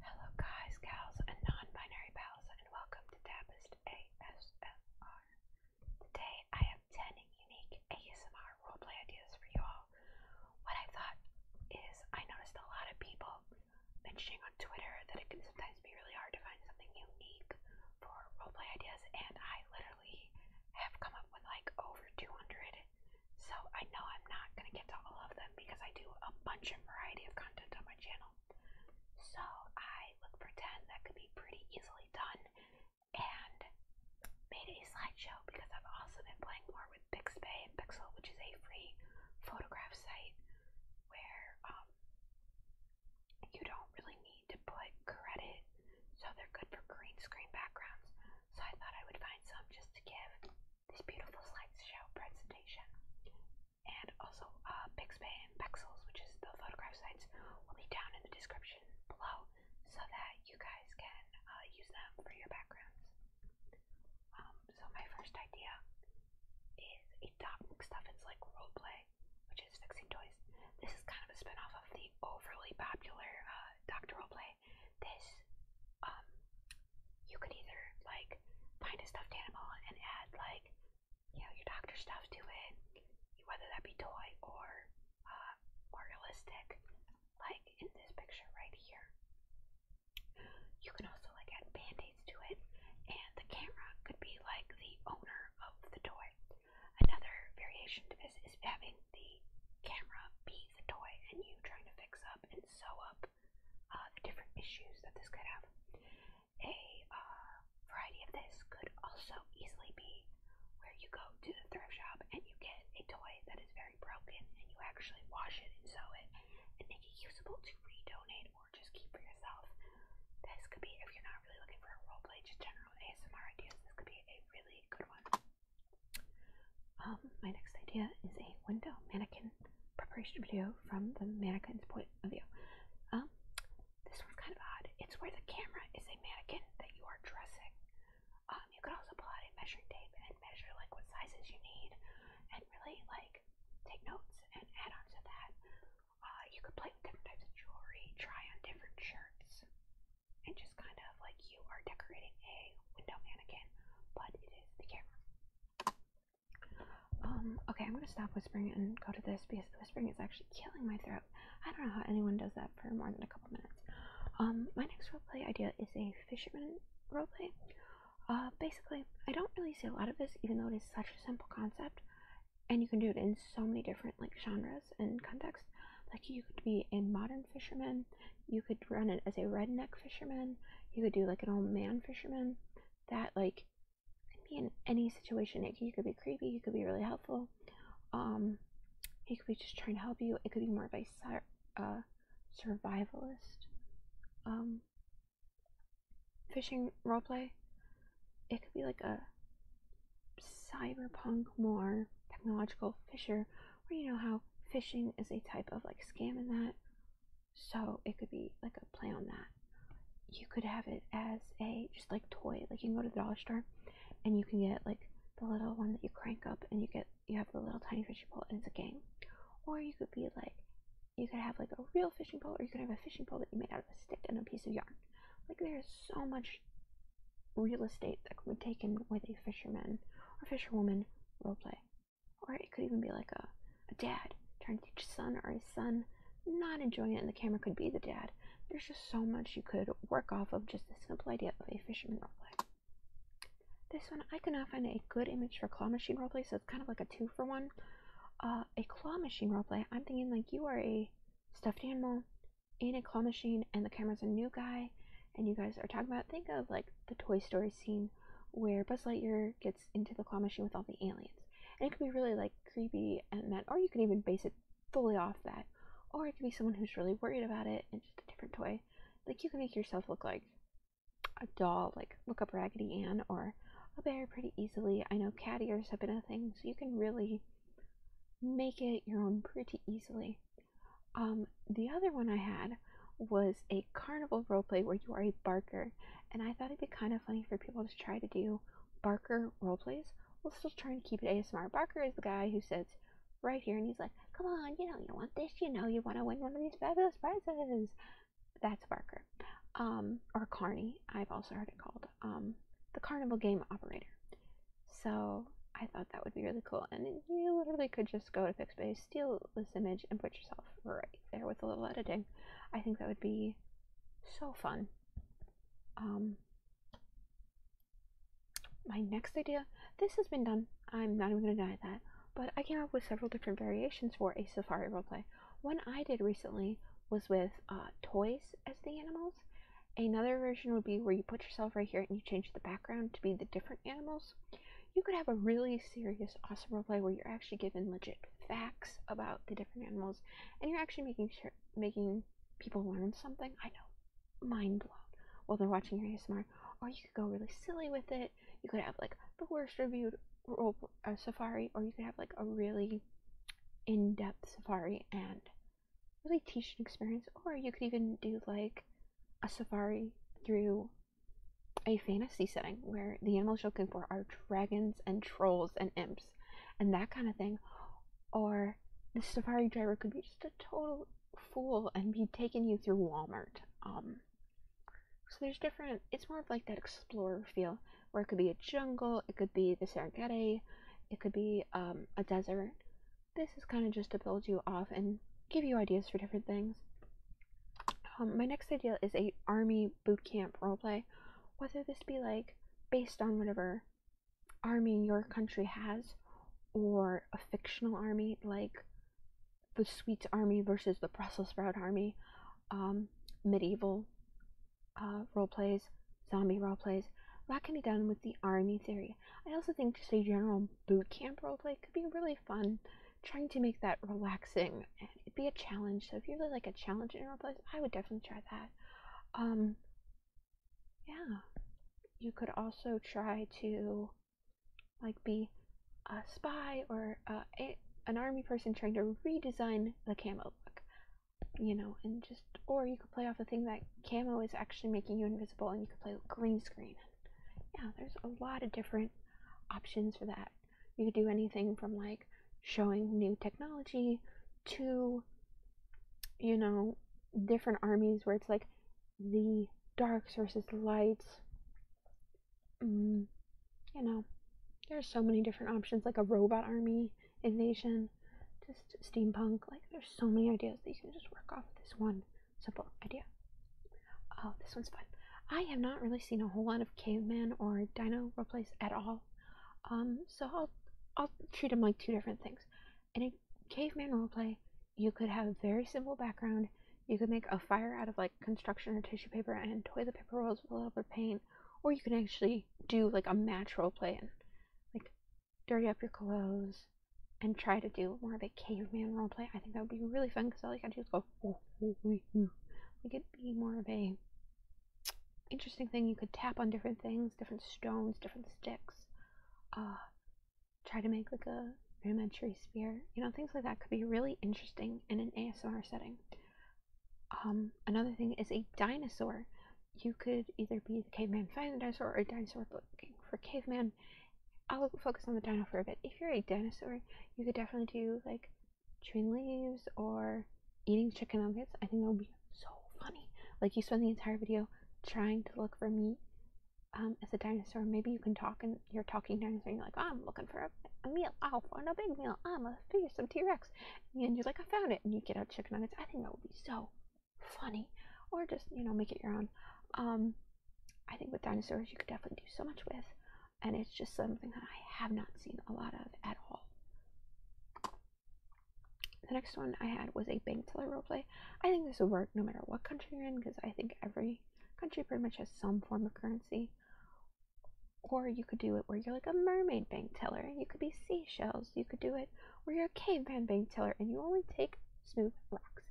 Hello, guys, gals, and non-binary pals, and welcome to Tapest ASMR. Today, I have 10 unique ASMR roleplay ideas for you all. What I thought is, I noticed a lot of people mentioning on Twitter that it can sometimes be really hard to find something unique for roleplay ideas, and I literally have come up with like over 200 so I know I'm not going to get to all of them because I do a bunch of variety of content on my channel. So I look for 10 that could be pretty easily done and made a slideshow because I've also been playing more with Pixabay and Pixel, which is a free photograph site where um, you don't really need to put credit. So they're good for green screen backgrounds so I thought I would find some just to give this beautiful slideshow presentation. And also, uh, and Pexels, which is the photograph sites, will be down in the description below so that you guys can uh, use them for your backgrounds. Um, so, my first idea is a Dot McStuffins like role play, which is fixing toys. This is kind of a spin off of the overly popular uh, Dr. Roleplay this um you could either like find a stuffed animal and add like you know your doctor stuff to it, whether that be toy or uh, more realistic, like in this picture right here. You can also like add band-aids to it, and the camera could be like the owner of the toy. Another variation to this is having the camera be the toy and you trying to fix up and and sew up uh, the different issues that this could have. A uh, variety of this could also easily be where you go to the thrift shop and you get a toy that is very broken and you actually wash it and sew it and make it usable to re-donate or just keep for yourself. This could be, if you're not really looking for a roleplay, just general ASMR ideas, this could be a really good one. Um, my next idea is a window mannequin preparation video from the mannequin's point of view. Um, this one's kind of odd. It's where the camera is a mannequin that you are dressing. Um, you could also pull out a measuring tape and measure like what sizes you need, and really like take notes and add on to that. Uh, you could play with different types of jewelry, try on different shirts, and just kind of like you are decorating a window mannequin, but it is the camera. Um, okay, I'm gonna stop whispering and go to this because whispering is actually killing my throat. I don't know how anyone does that for more than a couple minutes. Um, my next roleplay idea is a fisherman roleplay. Uh, basically, I don't really see a lot of this, even though it is such a simple concept, and you can do it in so many different like genres and contexts. Like you could be a modern fisherman, you could run it as a redneck fisherman. You could do like an old man fisherman. That like could be in any situation. It, he could be creepy. He could be really helpful. Um, he could be just trying to help you. It could be more of a uh, survivalist um, fishing roleplay. It could be like a cyberpunk, more technological fisher or you know how fishing is a type of like scam in that. So it could be like a play on that. You could have it as a just like toy. Like you can go to the dollar store and you can get like the little one that you crank up and you get you have the little tiny fishing pole and it's a game. Or you could be like you could have like a real fishing pole or you could have a fishing pole that you made out of a stick and a piece of yarn. Like there's so much real estate that could be taken with a fisherman or fisherwoman role play. Or it could even be like a, dad trying to teach his son or his son not enjoying it, and the camera could be the dad. There's just so much you could work off of just the simple idea of a fisherman roleplay. This one, I could not find a good image for claw machine roleplay, so it's kind of like a two for one. Uh, a claw machine roleplay, I'm thinking like you are a stuffed animal in a claw machine, and the camera's a new guy, and you guys are talking about, think of like the Toy Story scene where Buzz Lightyear gets into the claw machine with all the aliens. And it could be really like creepy and that, or you could even base it fully off that. Or it could be someone who's really worried about it and just a different toy. Like you can make yourself look like a doll, like look up Raggedy Ann or a bear pretty easily. I know caddiers have been a thing, so you can really make it your own pretty easily. Um, the other one I had was a carnival roleplay where you are a barker, and I thought it'd be kind of funny for people to try to do barker roleplays while still trying to keep it ASMR. Barker is the guy who sits right here and he's like, Come on, you know, you want this, you know, you want to win one of these fabulous prizes. That's Barker. Um, or Carney, I've also heard it called. Um, the carnival game operator. So I thought that would be really cool. And you literally could just go to Pixbay, steal this image and put yourself right there with a little editing, I think that would be so fun. Um, my next idea, this has been done, I'm not even going to deny that, but I came up with several different variations for a safari roleplay. One I did recently was with uh, toys as the animals. Another version would be where you put yourself right here and you change the background to be the different animals you could have a really serious, awesome role play where you're actually given legit facts about the different animals, and you're actually making sure making people learn something. I know, mind blown. While they're watching your ASMR, or you could go really silly with it. You could have like the worst reviewed role uh, safari, or you could have like a really in-depth safari and really teach an experience, or you could even do like a safari through a fantasy setting where the animals you're looking for are dragons and trolls and imps and that kind of thing, or the safari driver could be just a total fool and be taking you through Walmart. Um, so there's different. It's more of like that explorer feel, where it could be a jungle, it could be the Serengeti, it could be um, a desert. This is kind of just to build you off and give you ideas for different things. Um, my next idea is a army boot camp roleplay, whether this be like based on whatever army your country has, or a fictional army like the Swedes army versus the Brussels sprout army, um, medieval uh, roleplays, zombie roleplays. That can be done with the army theory. I also think just a general boot camp roleplay could be really fun trying to make that relaxing. It'd eh, be a challenge. So if you really like a challenge in your place, I would definitely try that. Um, yeah, you could also try to like be a spy or an army person trying to redesign the camo look, you know, and just or you could play off the thing that camo is actually making you invisible, and you could play green screen. Yeah, there's a lot of different options for that. You could do anything from like showing new technology to, you know, different armies where it's like the darks versus the lights. Mm, you know, there's so many different options, like a robot army invasion, just steampunk. Like, there's so many ideas that you can just work off this one simple idea. Oh, this one's fun. I have not really seen a whole lot of caveman or dino role plays at all. Um, so I'll I'll treat them like two different things. In a caveman role play, you could have a very simple background. You could make a fire out of like construction or tissue paper and toilet paper rolls with a little bit of paint, or you can actually do like a match role play and like dirty up your clothes, and try to do more of a caveman roleplay. I think that would be really fun because all you have to do is go, ooh, ooh, ooh, be more of a interesting thing. You could tap on different things, different stones, different sticks. Uh, try to make like a rudimentary spear. You know, things like that could be really interesting in an ASMR setting. Um, another thing is a dinosaur. You could either be the caveman fighting a dinosaur or a dinosaur looking for caveman I'll focus on the dino for a bit. If you're a dinosaur, you could definitely do like chewing leaves or eating chicken nuggets. I think that would be so funny. Like you spend the entire video trying to look for meat um, as a dinosaur. Maybe you can talk and you're talking dinosaur and you're like, oh, I'm looking for a, meal. I'll find a big meal. I'm a fearsome T-Rex. And you're like, I found it. And you get out chicken nuggets. I think that would be so funny. Or just, you know, make it your own. Um, I think with dinosaurs, you could definitely do so much with, and it's just something that I have not seen a lot of at all. The next one I had was a bank teller roleplay. I think this would work no matter what country you're in because I think every country pretty much has some form of currency. Or you could do it where you're like a mermaid bank teller and you could be seashells. You could do it where you're a caveman bank teller and you only take smooth rocks.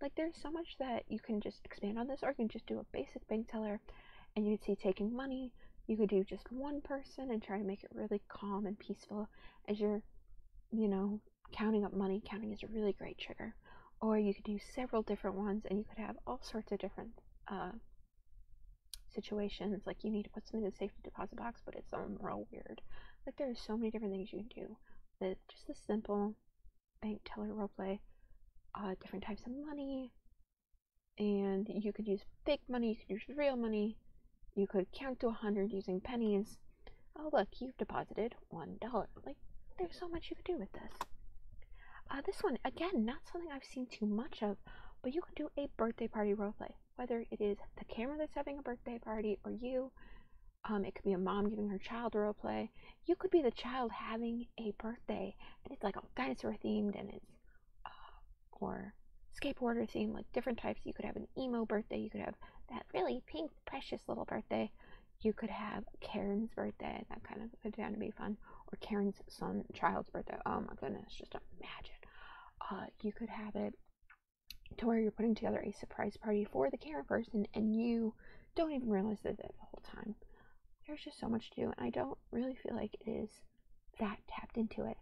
Like there's so much that you can just expand on this, or you can just do a basic bank teller, and you could see taking money. You could do just one person and try to make it really calm and peaceful as you're, you know, counting up money. Counting is a really great trigger. Or you could do several different ones, and you could have all sorts of different uh, situations. Like you need to put something in the safety deposit box, but it's something real weird. Like there are so many different things you can do with just the simple bank teller roleplay, uh, different types of money, and you could use fake money, you could use real money, you could count to a 100 using pennies. Oh, look, you've deposited $1. Like, there's so much you could do with this. Uh, this one, again, not something I've seen too much of, but you could do a birthday party roleplay. Whether it is the camera that's having a birthday party or you, um, it could be a mom giving her child role play. You could be the child having a birthday, and it's like a dinosaur themed, and it's uh, or skateboarder theme, like different types. You could have an emo birthday. You could have that really pink, precious little birthday. You could have Karen's birthday. That kind of could be fun. Or Karen's son child's birthday. Oh my goodness, just imagine. Uh, you could have it to where you're putting together a surprise party for the Karen person, and you don't even realize that the whole time. There's just so much to do, and I don't really feel like it is that tapped into it.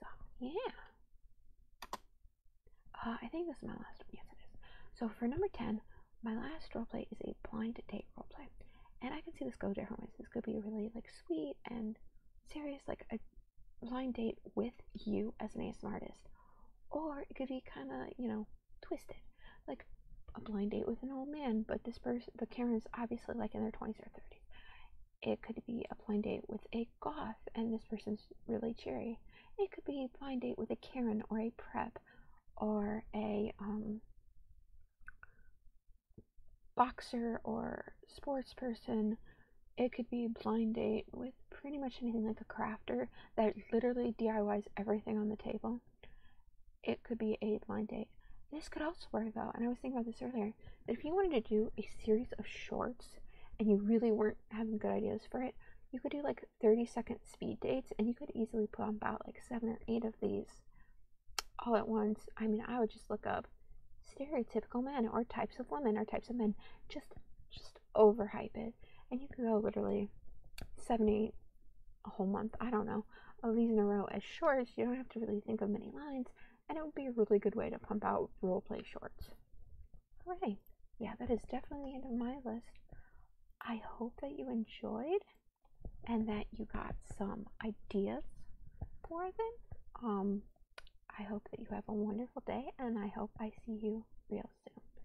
So, yeah. Uh, I think this is my last one. Yes, it is. So, for number 10, my last role play is a blind date role play, And I can see this go different ways. This could be really, like, sweet and serious, like a blind date with you as an ASMR artist or it could be kind of you know twisted like a blind date with an old man but this person the karen is obviously like in their 20s or 30s it could be a blind date with a goth and this person's really cheery it could be a blind date with a karen or a prep or a um, boxer or sports person it could be a blind date with pretty much anything like a crafter that literally DIYs everything on the table. It could be a blind date. This could also work though, and I was thinking about this earlier, that if you wanted to do a series of shorts and you really weren't having good ideas for it, you could do like 30 second speed dates and you could easily put on about like seven or eight of these all at once. I mean, I would just look up stereotypical men or types of women or types of men. Just just overhype it. And you can go literally seven, a whole month, I don't know, of these in a row as shorts. You don't have to really think of many lines, and it would be a really good way to pump out role play shorts. Alright, yeah, that is definitely the end of my list. I hope that you enjoyed and that you got some ideas for them. Um, I hope that you have a wonderful day, and I hope I see you real soon.